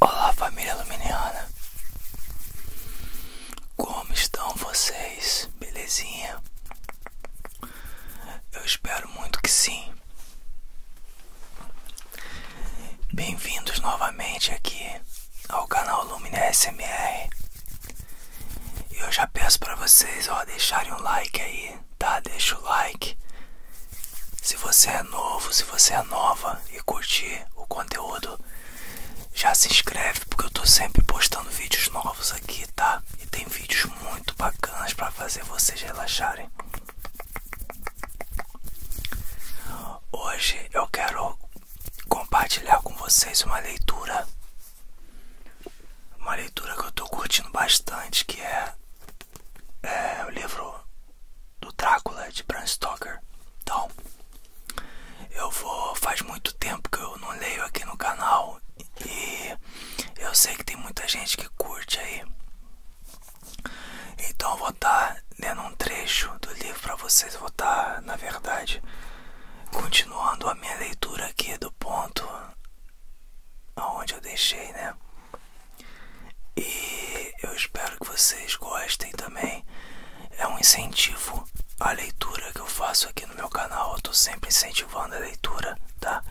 Olá família Luminiana Como estão vocês? Belezinha? Eu espero muito que sim Bem-vindos novamente aqui ao canal Lumina SMR E Eu já peço para vocês ó, deixarem um like aí, tá? Deixa o like se você é novo, se você é nova e curtir o conteúdo, já se inscreve porque eu tô sempre postando vídeos novos aqui, tá? E tem vídeos muito bacanas para fazer vocês relaxarem. Hoje eu quero compartilhar com vocês uma leitura, uma leitura que eu tô curtindo bastante, que é, é o livro do Drácula de Bram Stoker. Então, eu vou. Faz muito tempo que eu não leio aqui no canal e eu sei que tem muita gente que curte aí. Então, eu vou estar tá lendo um trecho do livro para vocês. vou estar, tá, na verdade, continuando a minha leitura aqui do ponto aonde eu deixei, né? E eu espero que vocês gostem também. É um incentivo à leitura que eu faço aqui no meu canal. Eu tô sempre incentivando a leitura, tá?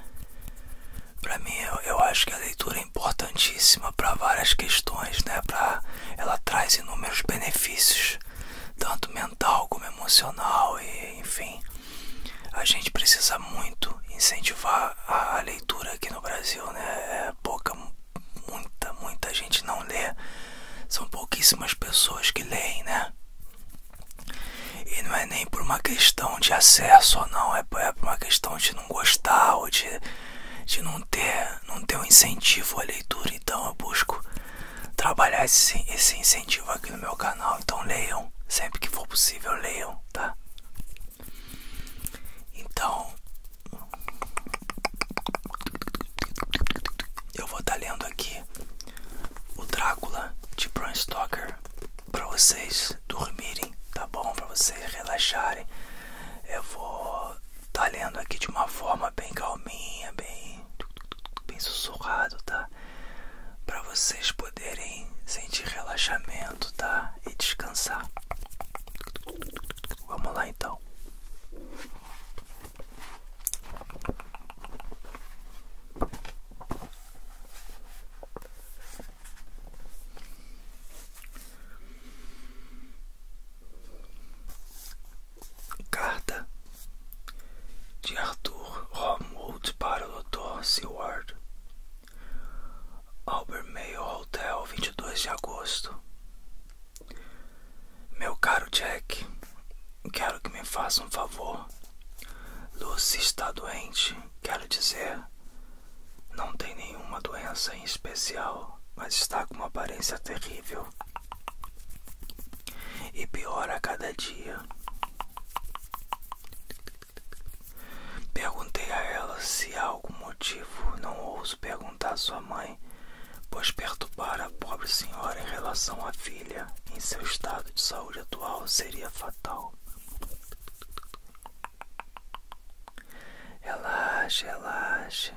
para mim, eu, eu acho que a leitura é importantíssima para várias questões, né? Pra, ela traz inúmeros benefícios, tanto mental como emocional, e enfim. A gente precisa muito incentivar a, leitura aqui no Brasil, né? É pouca, muita, muita gente não lê. São pouquíssimas pessoas que leem, né? E não é nem por uma questão de acesso ou não, é, é por uma questão de não gostar ou de, de não ter não ter um incentivo à leitura. Então eu busco trabalhar esse, esse incentivo aqui no meu canal. Então leiam, sempre que for possível, leiam, tá? Então, eu vou estar tá lendo aqui o Drácula de Bram Stoker para vocês dormirem, tá bom? Para vocês relaxarem. Eu vou estar tá lendo aqui de uma forma bem calminha, bem bem sussurrado, tá? Para vocês poderem sentir relaxamento, tá? E descansar. Vamos lá então. Carta de Arthur Romuald para o Dr. Seward Albermeio Hotel, 22 de agosto. Meu caro Jack, quero que me faça um favor. Lucy está doente, quero dizer, não tem nenhuma doença em especial, mas está com uma aparência terrível e piora a cada dia. Perguntei a ela se há algum motivo, não ouso perguntar à sua mãe, pois perturbar a pobre senhora em relação à filha em seu estado de saúde atual seria fatal. Relaxe, relaxe.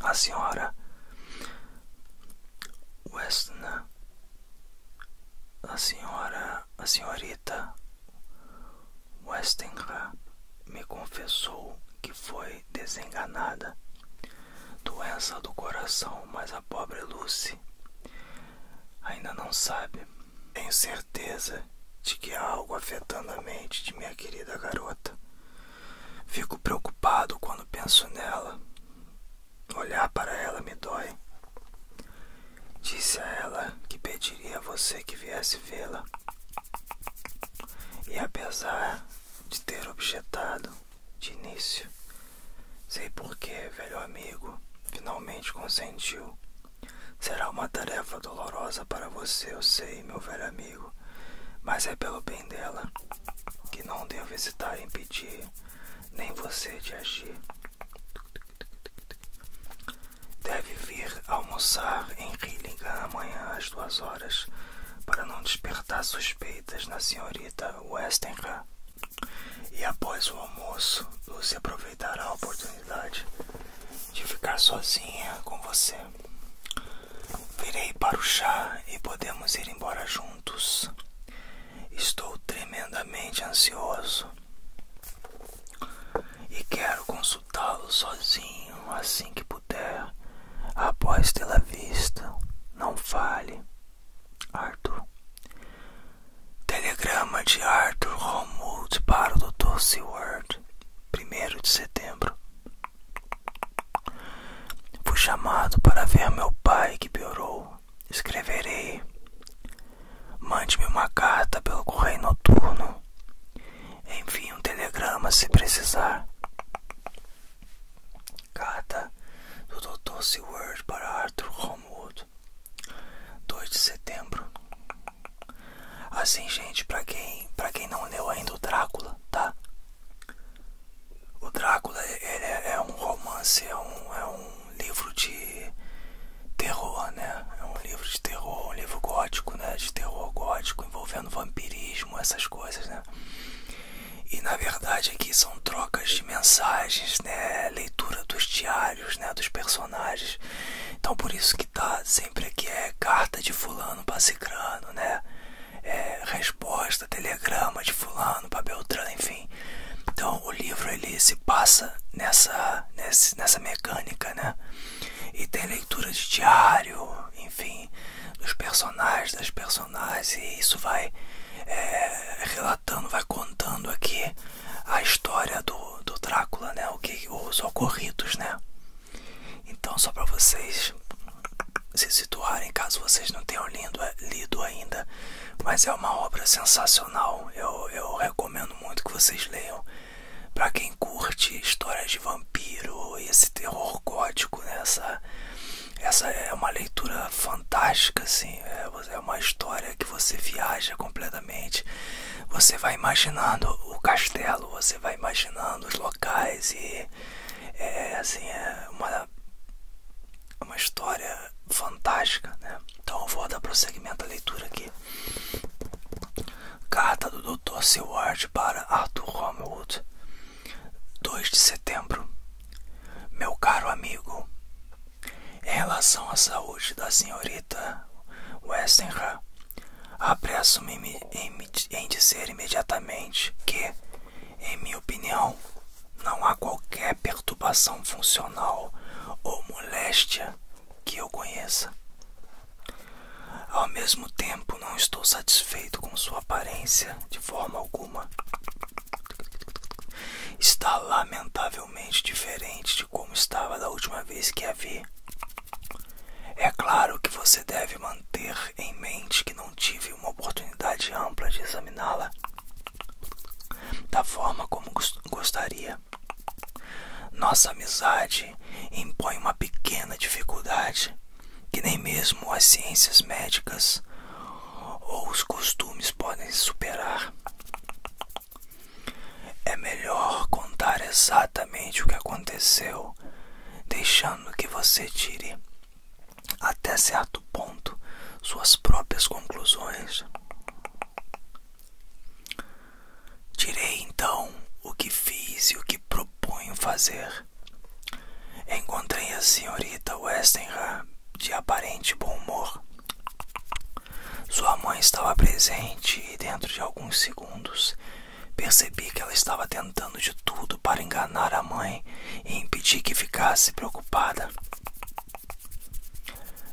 A senhora Westner a senhora, a senhorita Westenra me confessou que foi desenganada. Doença do coração, mas a pobre Lucy ainda não sabe. Tenho certeza de que há algo afetando a mente de minha querida garota. Fico preocupado quando penso nela. Olhar para ela me dói. Disse a ela que pediria a você que viesse vê-la. E apesar de ter objetado de início, sei porque, velho amigo, finalmente consentiu. Será uma tarefa dolorosa para você, eu sei, meu velho amigo, mas é pelo bem dela que não devo hesitar em pedir nem você de agir. Deve vir almoçar em Rillingham amanhã às duas horas para não despertar suspeitas na senhorita Westenra. E após o almoço, Lucy aproveitará a oportunidade de ficar sozinha com você. Virei para o chá e podemos ir embora juntos. Estou tremendamente ansioso e quero consultá-lo sozinho assim que puder, após tê-la vista. Não fale, Arthur. Telegrama de Arthur Romuld para o Dr. Seward, 1 de setembro. Fui chamado para ver meu pai que piorou. Escreverei. Mande-me uma carta pelo correio noturno. enfim um telegrama se precisar. Carta do Dr. Seward para Arthur Homewood. 2 de setembro. Assim, gente, para quem, pra quem não leu ainda o Drácula, tá? O Drácula é, é, um romance, é, é um, livro de terror, né? É um livro de terror, um livro gótico, né? De terror gótico envolvendo vampirismo, essas coisas, né? E na verdade aqui são trocas de mensagens, né? Leitura dos diários, né? Dos personagens. Então por isso que tá sempre aqui é carta de fulano pra cicrano, né? É, resposta, telegrama de fulano para Beltrano, enfim. Então o livro ele se passa nessa, nesse, nessa mecânica, né? E tem leitura de diário, enfim, dos personagens, das personagens, e isso vai é, relatando, vai contando aqui a história do, do Drácula, né? O que, os ocorridos, né? Então só para vocês se situarem caso vocês não tenham lido, lido ainda. Mas é uma obra sensacional. Eu, recomendo muito que vocês leiam. Para quem curte histórias de vampiro e esse terror gótico, né? essa, essa é uma leitura fantástica. Assim. É, é uma história que você viaja completamente. Você vai imaginando o castelo, você vai imaginando os locais e é assim, é uma, uma história fantástica, né? Então eu vou dar prosseguimento à leitura aqui. Carta do Dr. Seward para Arthur Homewood, 2 de setembro. Meu caro amigo, em relação à saúde da senhorita Westenra, apresso-me em, em dizer imediatamente que, em minha opinião, não há qualquer perturbação funcional ou moléstia que eu conheça. Ao mesmo tempo, não estou satisfeito com sua aparência de forma alguma. Está lamentavelmente diferente de como estava da última vez que a vi. É claro que você deve manter em mente que não tive uma oportunidade ampla de examiná-la da forma como gostaria. Nossa amizade impõe uma pequena dificuldade que nem mesmo as ciências médicas ou os costumes podem superar. É melhor contar exatamente o que aconteceu deixando que você tire até certo ponto suas próprias conclusões. Tirei então o que fiz e o que proponho fazer. Encontrei a senhorita Westenra de aparente bom humor. Sua mãe estava presente e dentro de alguns segundos Percebi que ela estava tentando de tudo para enganar a mãe e impedir que ficasse preocupada.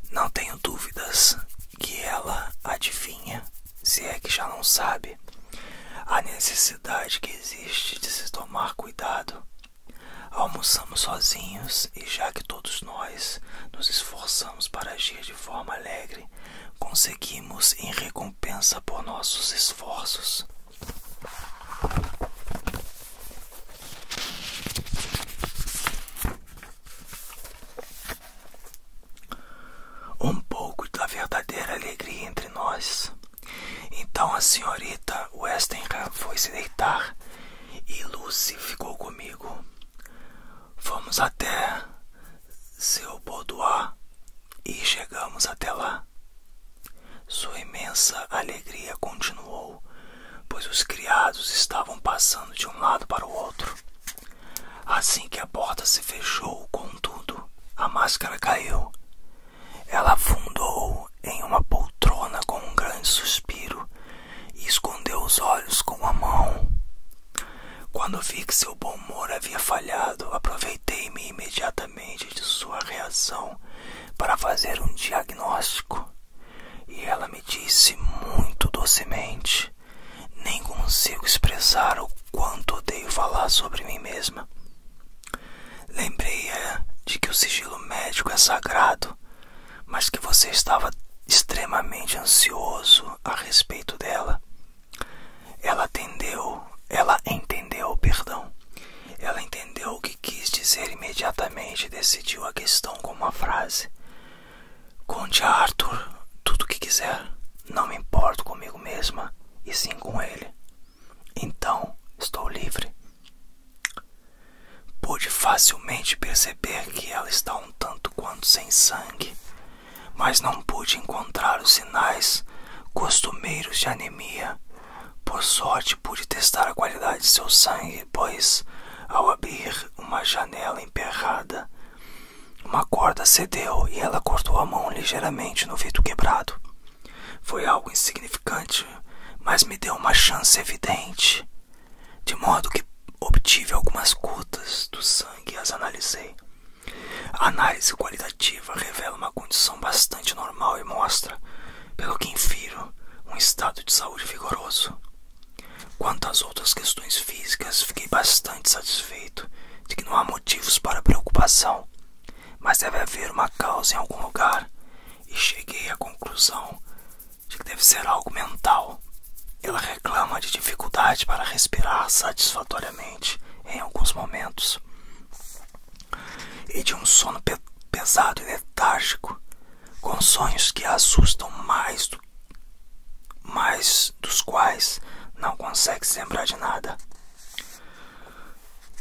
Não tenho dúvidas que ela adivinha, se é que já não sabe, a necessidade que existe de se tomar cuidado. Almoçamos sozinhos e, já que todos nós nos esforçamos para agir de forma alegre, conseguimos em recompensa por nossos esforços. Um pouco da verdadeira alegria entre nós. Então a senhorita Westenham foi se deitar e Lucy ficou comigo. Fomos até seu boudoir e chegamos até lá. Sua imensa alegria continuou, pois os criados estavam passando de um lado para o outro. Assim que a porta se fechou, contudo, a máscara caiu. Ela afundou em uma poltrona com um grande suspiro e escondeu os olhos com a mão. Quando vi que seu bom humor havia falhado, aproveitei-me imediatamente de sua reação para fazer um diagnóstico. E ela me disse muito docemente: Nem consigo expressar o quanto odeio falar sobre mim mesma. Lembrei-a de que o sigilo médico é sagrado, mas que você estava extremamente ansioso a respeito dela ela atendeu, ela entendeu, perdão. Ela entendeu o que quis dizer imediatamente e decidiu a questão com uma frase. Conte a Arthur tudo o que quiser. Não me importo comigo mesma e sim com ele. Então estou livre. Pude facilmente perceber que ela está um tanto quanto sem sangue, mas não pude encontrar os sinais costumeiros de anemia. Por sorte, pude testar a qualidade de seu sangue, pois, ao abrir uma janela emperrada, uma corda cedeu e ela cortou a mão ligeiramente no vidro quebrado. Foi algo insignificante, mas me deu uma chance evidente, de modo que obtive algumas gotas do sangue e as analisei. A análise qualitativa revela uma condição bastante normal e mostra, pelo que infiro, um estado de saúde vigoroso. Quanto às outras questões físicas, fiquei bastante satisfeito de que não há motivos para preocupação, mas deve haver uma causa em algum lugar, e cheguei à conclusão de que deve ser algo mental ela reclama de dificuldade para respirar satisfatoriamente em alguns momentos e de um sono pesado e letárgico, com sonhos que a assustam mais, do, mais dos quais não consegue se lembrar de nada.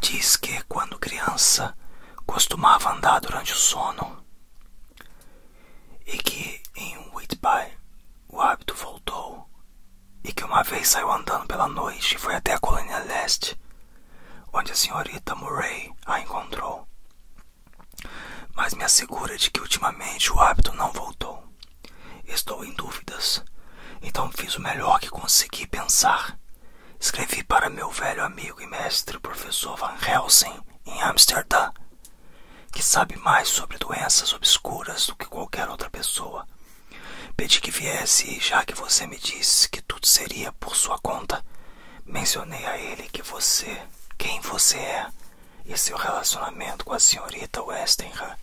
Diz que quando criança costumava andar durante o sono e que em Whitby o hábito voltou e que uma vez saiu andando pela noite e foi até a colônia leste, onde a senhorita Murray a encontrou. Mas me assegura de que ultimamente o hábito não voltou. Estou em dúvidas, então fiz o melhor que consegui pensar. Escrevi para meu velho amigo e mestre, professor Van Helsing, em Amsterdã, que sabe mais sobre doenças obscuras do que qualquer outra pessoa. Pedi que viesse, e já que você me disse que tudo seria por sua conta, mencionei a ele que você, quem você é e seu relacionamento com a senhorita Westenra.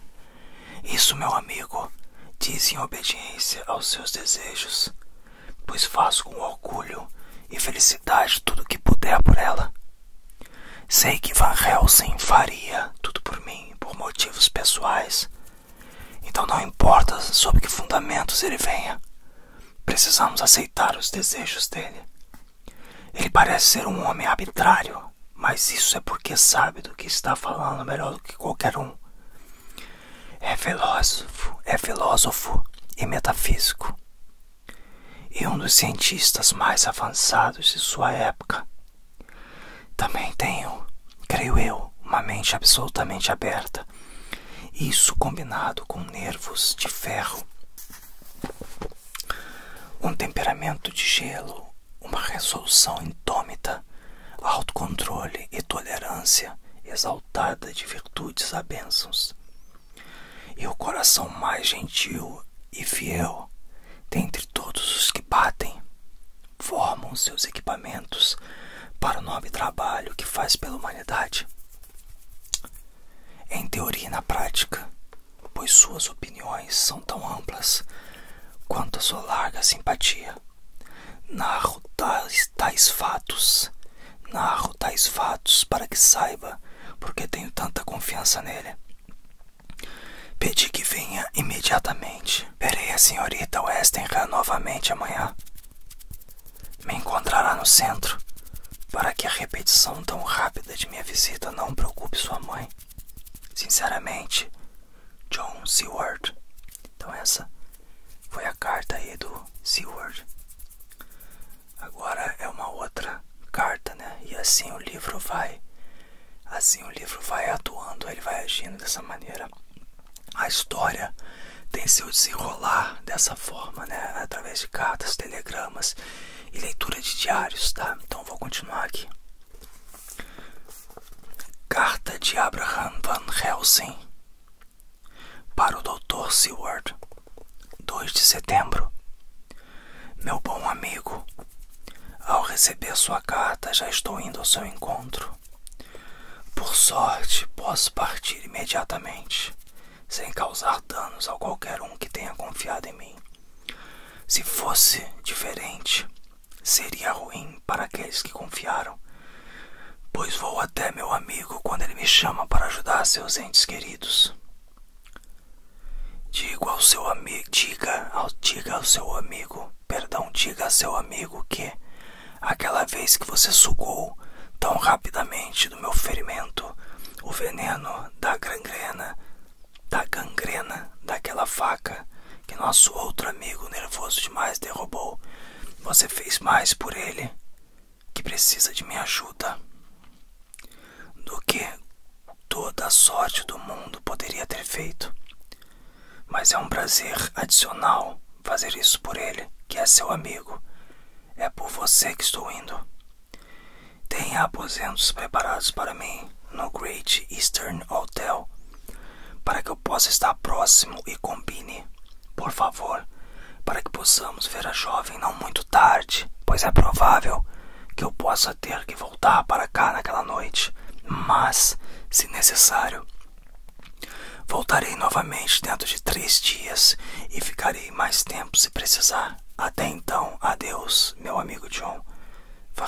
Isso, meu amigo, diz em obediência aos seus desejos, pois faço com orgulho e felicidade tudo o que puder por ela. Sei que Van Helsing faria tudo por mim por motivos pessoais. Então não importa sob que fundamentos ele venha. Precisamos aceitar os desejos dele. Ele parece ser um homem arbitrário, mas isso é porque sabe do que está falando melhor do que qualquer um. É filósofo, é filósofo e metafísico, e um dos cientistas mais avançados de sua época. Também tenho, creio eu, uma mente absolutamente aberta, isso combinado com nervos de ferro, um temperamento de gelo, uma resolução indômita, autocontrole e tolerância exaltada de virtudes a bênçãos. E o coração mais gentil e fiel, dentre todos os que batem, formam seus equipamentos para o nobre trabalho que faz pela humanidade. Em teoria e na prática, pois suas opiniões são tão amplas quanto a sua larga simpatia, narro tais, tais fatos narro tais fatos para que saiba, porque tenho tanta confiança nele. Pedi que venha imediatamente. Verei a senhorita Westenra novamente amanhã. Me encontrará no centro, para que a repetição tão rápida de minha visita não preocupe sua mãe. Sinceramente, John Seward. Então essa foi a carta aí do Seward. Agora é uma outra carta, né? E assim o livro vai, assim o livro vai atuando, ele vai agindo dessa maneira. A história tem seu desenrolar dessa forma, né? Através de cartas, telegramas e leitura de diários, tá? Então vou continuar aqui. Carta de Abraham Van Helsing para o Dr. Seward, 2 de setembro. Meu bom amigo, ao receber sua carta já estou indo ao seu encontro. Por sorte, posso partir imediatamente, sem causar danos a qualquer um que tenha confiado em mim. Se fosse diferente, seria ruim para aqueles que confiaram, pois vou até meu amigo quando ele me chama para ajudar seus entes queridos. Digo ao seu amigo, diga diga ao seu amigo, perdão, diga a seu amigo que aquela vez que você sugou tão rapidamente do meu ferimento o veneno da gangrena, da gangrena daquela faca que nosso outro amigo nervoso demais derrubou, você fez mais por ele que precisa de minha ajuda do que toda a sorte do mundo poderia ter feito. Mas é um prazer adicional fazer isso por ele, que é seu amigo. É por você que estou indo. Tenha aposentos preparados para mim no Great Eastern Hotel para que eu possa estar próximo e combine por favor, para que possamos ver a jovem não muito tarde, pois é provável que eu possa ter que voltar para cá naquela noite. Mas, se necessário, voltarei novamente dentro de três dias e ficarei mais tempo se precisar. Até então, adeus, meu amigo John Van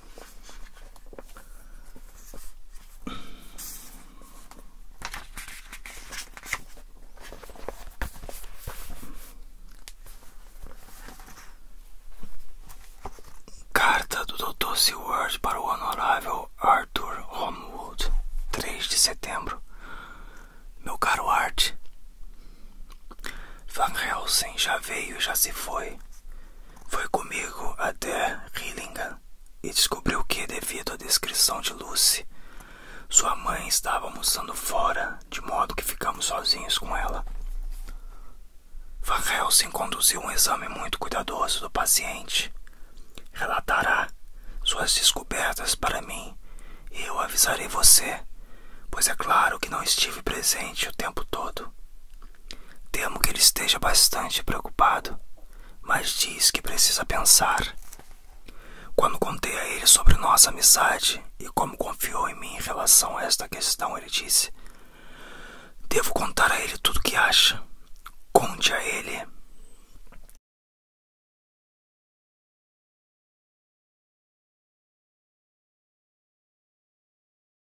Carta do Dr. Seward para o Honorável Arthur Homewood, 3 de setembro. Meu caro Art, Van Helsing já veio e já se foi. Foi comigo até Hillingham e descobriu que, devido à descrição de Lucy, sua mãe estava almoçando fora, de modo que ficamos sozinhos com ela. Van conduziu um exame muito cuidadoso do paciente. Relatará suas descobertas para mim e eu avisarei você, pois é claro que não estive presente o tempo todo. Temo que ele esteja bastante preocupado, mas diz que precisa pensar. Quando contei a ele sobre nossa amizade e como confiou em mim em relação a esta questão, ele disse: Devo contar a ele tudo o que acha. Conte a ele.